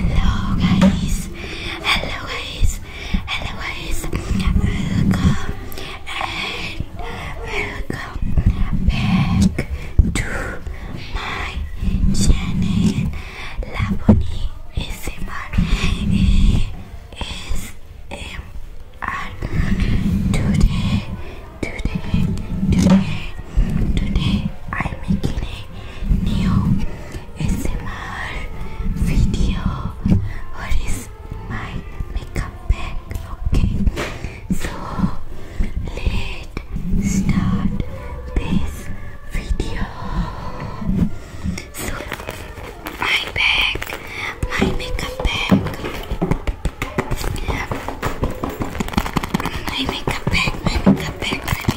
Hello guys, hello guys, hello guys, welcome and welcome back to my channel Laboni ASMR ASMR Today, today, today, today I'm making a new ASMR video what is my makeup bag okay so let's start this video so my bag my makeup bag my makeup bag makeup bag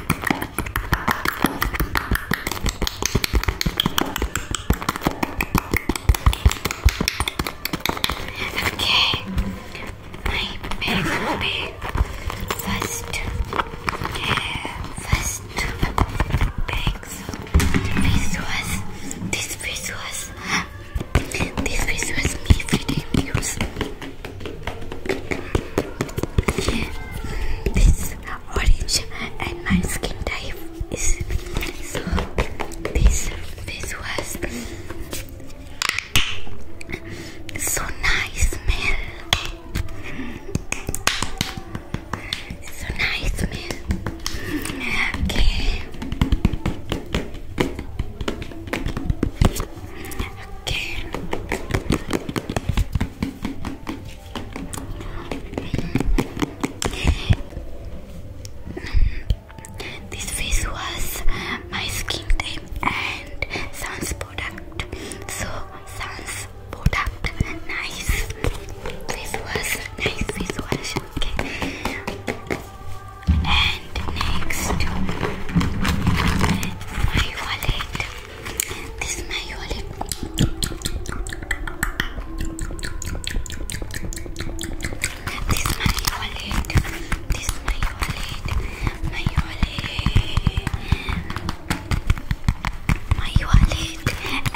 Okay, my bag first, first bag. this was, this was, this was me feeding news. This orange and my skin type is so this was so nice man. so nice smell okay Okay. This face was my skin cream and Sans product. So Sans product, nice. This was nice face wash. Okay. And next, my wallet. This is my wallet. This is my wallet. This is my wallet. My wallet. My wallet and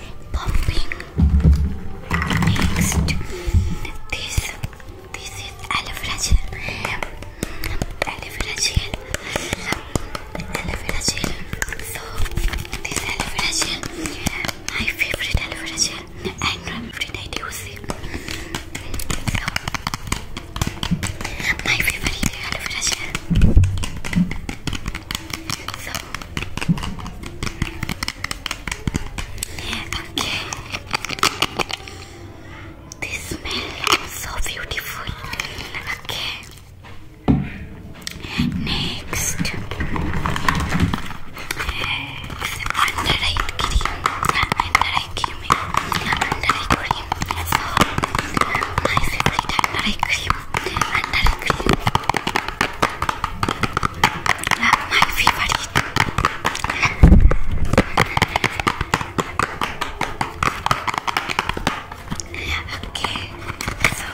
pumping. Next, this this is aloe vera gel. So this aloe vera gel, my favorite aloe vera gel, and every I favorite aloe So, Okay. This smell is so beautiful. Okay. Next, under eye cream, under eye cream, under eye cream. So my under eye cream, under eye cream my favorite. okay, so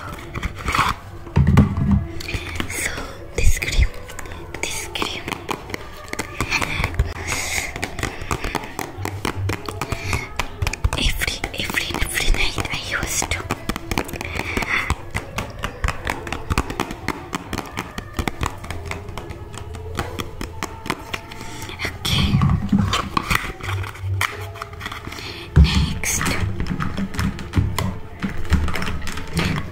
so this cream, this cream. Every every every night I used to Okay. Next,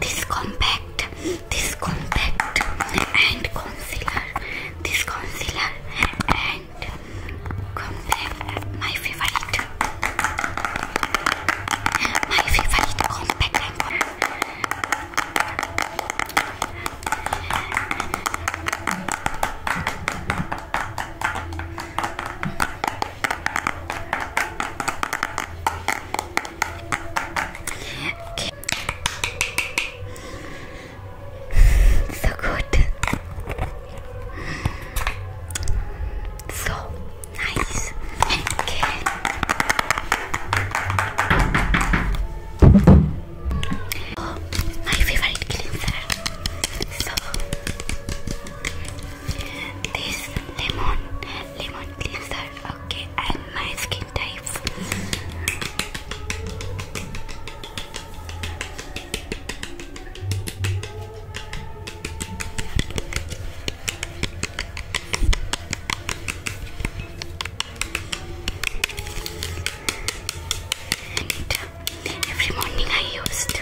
this compact, this compact and concealer, this concealer and compact, my favorite. My favorite competence. Okay. So good. So Nice. Okay. Oh, my favorite cleanser. So this lemon, lemon cleanser. Okay, and my skin type. Every morning I used.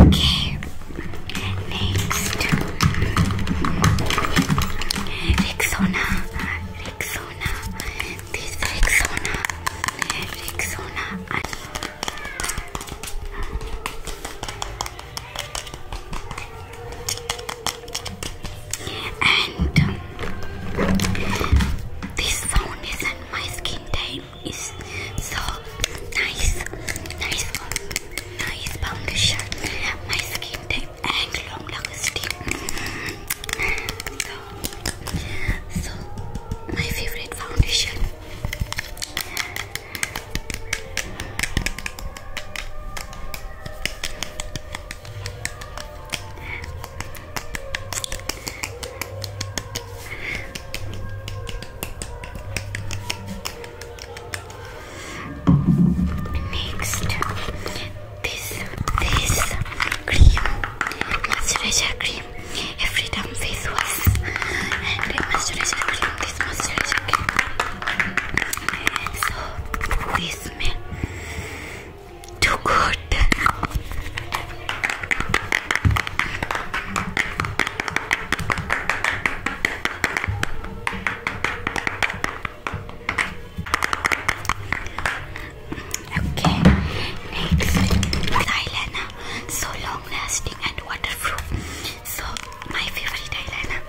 Okay, next. Rexona. Rexona. This Rexona. Rexona. And um, this foundation, my skin type is so nice, nice, nice foundation. My skin type and long lasting. So mm-hmm so my favorite foundation Next, this cream moisturizer cream every time face wash and moisturizer cream this moisturizer cream so this smell too good Okay, next eyeliner, so long lasting and waterproof. So my favorite eyeliner.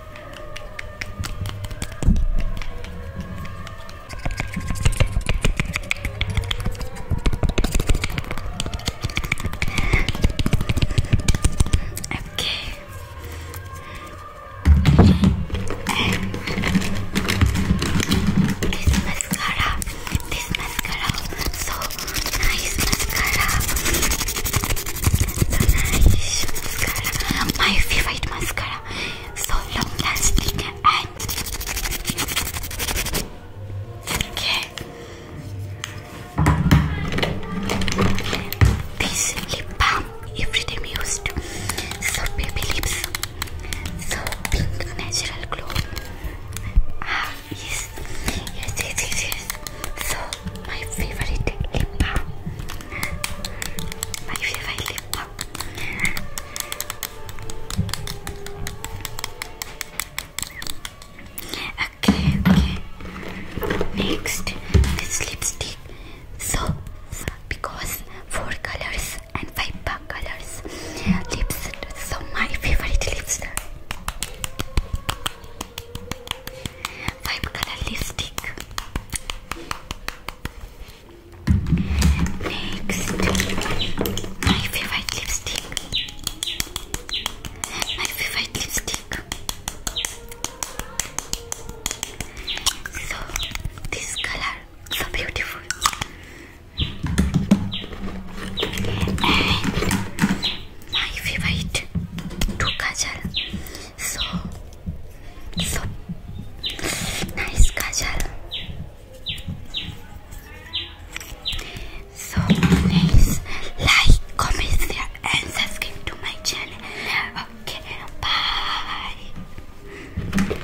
Okay. this is this mascara so nice mascara. So nice mascara. My favorite mascara. So long lasting and okay. This lip balm every time used. So baby lips. So pink natural glow. Ah yes, yes, yes, yes. So my favorite lip balm. My favorite lip balm. Okay, okay. Next, this lipstick. So, because four colors and five colors lips. So my favorite lips. Five color lipstick. Next, my favorite lipstick. My favorite lipstick. So this color so beautiful and my favorite so nice kajal so please like comment share and subscribe to my channel okay bye